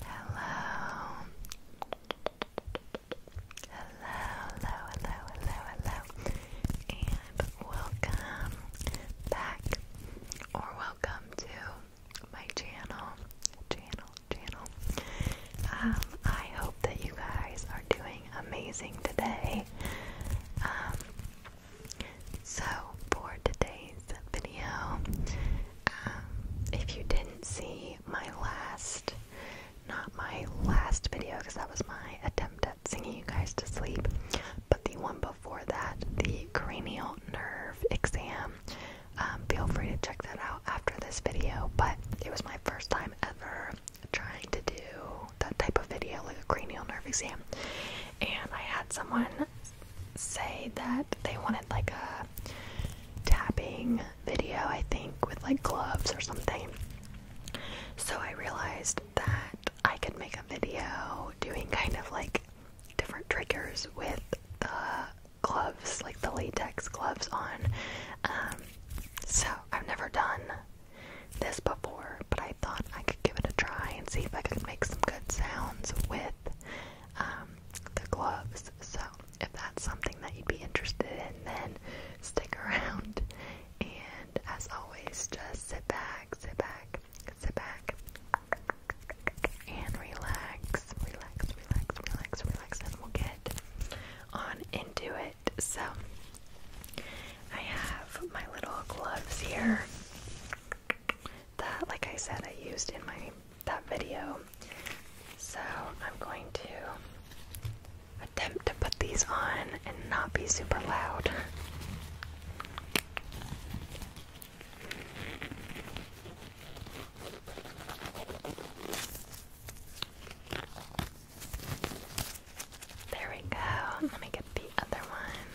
Hello. Hello, hello, hello, hello, hello, and welcome back, or welcome to my channel, channel, channel. Um, I hope that you guys are doing amazing today. Um, so, for today's video, um, if you didn't see my last, not my last video, because that was my attempt at singing you guys to sleep, but the one before that, the cranial nerve exam, um, feel free to check that out after this video. But it was my first time ever trying to do that type of video, like a cranial nerve exam, and I had someone say that they wanted like a tapping video, I think, with like gloves or something. So I realized that I could make a video doing kind of like different triggers with the gloves, like the latex gloves on. Um, so I've never done this before, but I. I thought I could give it a try and see if I could make some good sounds with um, the gloves. So, if that's something that you'd be interested in, then stick around. And as always, just sit back, sit back, sit back, and relax, relax, relax, relax, relax, and we'll get on into it. So, I have my little gloves here that, like I said, I used in my that video. So I'm going to attempt to put these on and not be super loud. There we go. Let me get the other one.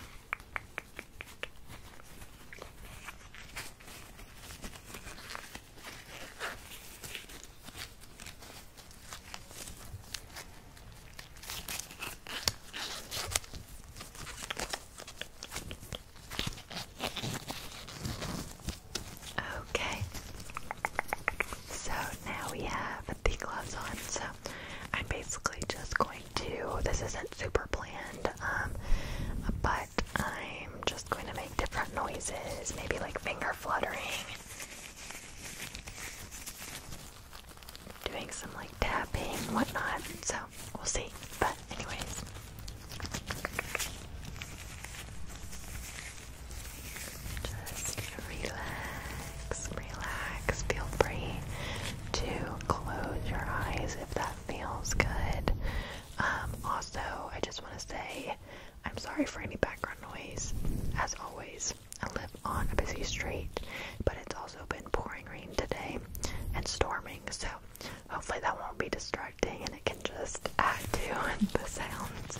Okay, so now we have the gloves on, so I'm basically just going this isn't super planned, um, but I'm just going to make different noises, maybe like finger fluttering, doing some like tapping, whatnot. So we'll see. But, anyways. Just relax, relax. Feel free to close your eyes if that feels good. Um, also, I just want to say I'm sorry for any background noise. As always, I live on a busy street, but it's also been pouring rain today and storming, so hopefully that won't be distracting and it can just add to the sounds.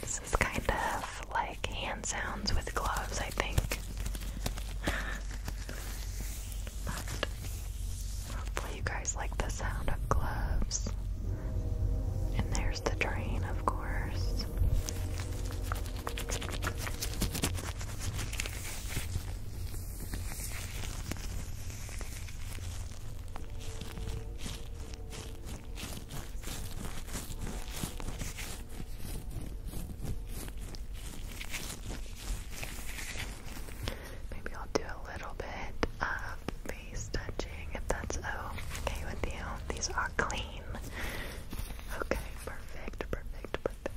This is kind of like hand sounds with gloves, I think but hopefully you guys like the sound of gloves. And there's the train, of course. Maybe I'll do a little bit of face touching if that's okay with you. These are clean. Okay, perfect, perfect, perfect.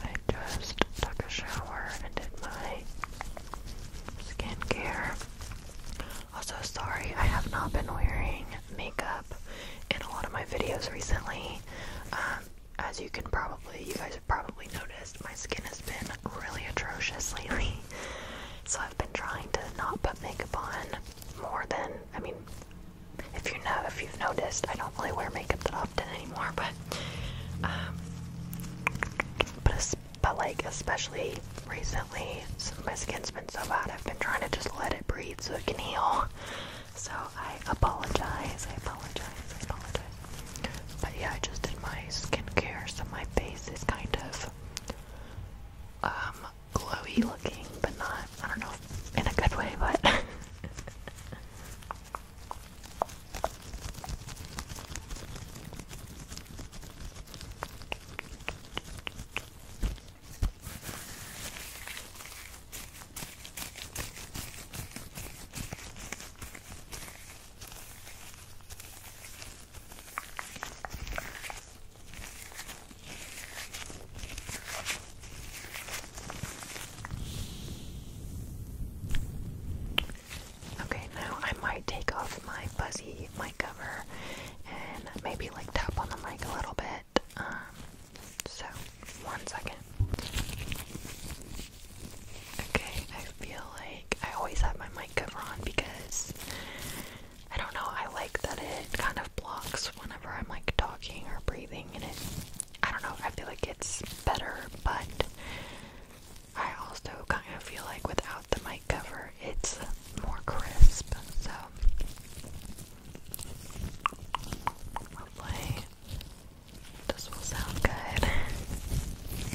I just took a shower and did my skincare. Also, sorry, I have not been wearing makeup in a lot of my videos recently. Um, as you can probably, you guys have probably noticed, my skin has been really atrocious lately. So I've been trying to not put makeup on more than, I mean, if you know, if you've noticed, I don't really wear makeup that often anymore. But, um, but like especially recently, my skin's been so bad. I've been trying to just let it breathe so it can heal. So I apologize. I apologize. I apologize. But yeah, I just did my skincare, so my face is kind of um glowy looking, but not, I don't know, in a good way, but. Okay, now I might take off my fuzzy mic cover and maybe like tap on the mic a little bit. Um, so, one second. Okay, I feel like I always have my mic cover on because I don't know, I like that it kind of blocks whenever I'm like talking or breathing and it I don't know, I feel like it's better, but I also kind of feel like without the mic cover it's more crisp, so hopefully this will sound good.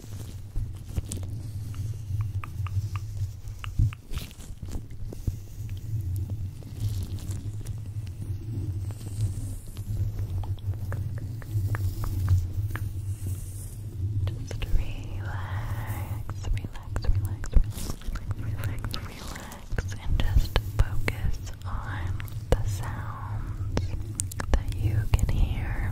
Just relax, relax, relax, relax, relax, relax, and just focus on the sounds that you can hear.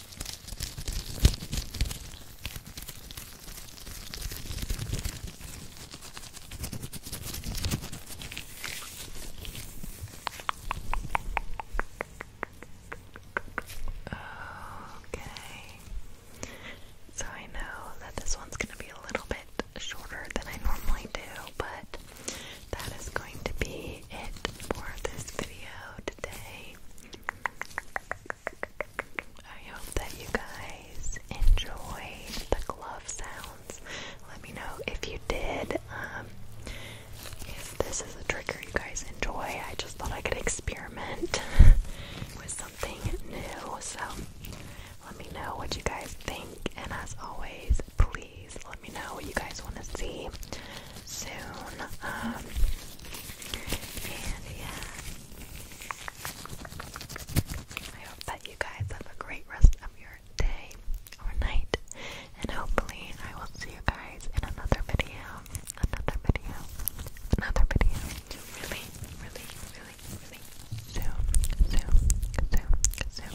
Okay. So I know that this one's going to be a little bit shorter than I normally do, but that is going to be it for this video today. I hope that you guys enjoyed the glove sounds. Let me know if you did. Um, if this is a trigger you guys enjoy, I just thought I could experiment with something new. So let me know what you guys think. And as always, please let me know what you guys want to see soon. Um, and yeah, I hope that you guys have a great rest of your day or night, and hopefully, I will see you guys in another video. Another video, another video. Really, really, really, really soon, soon, soon, soon.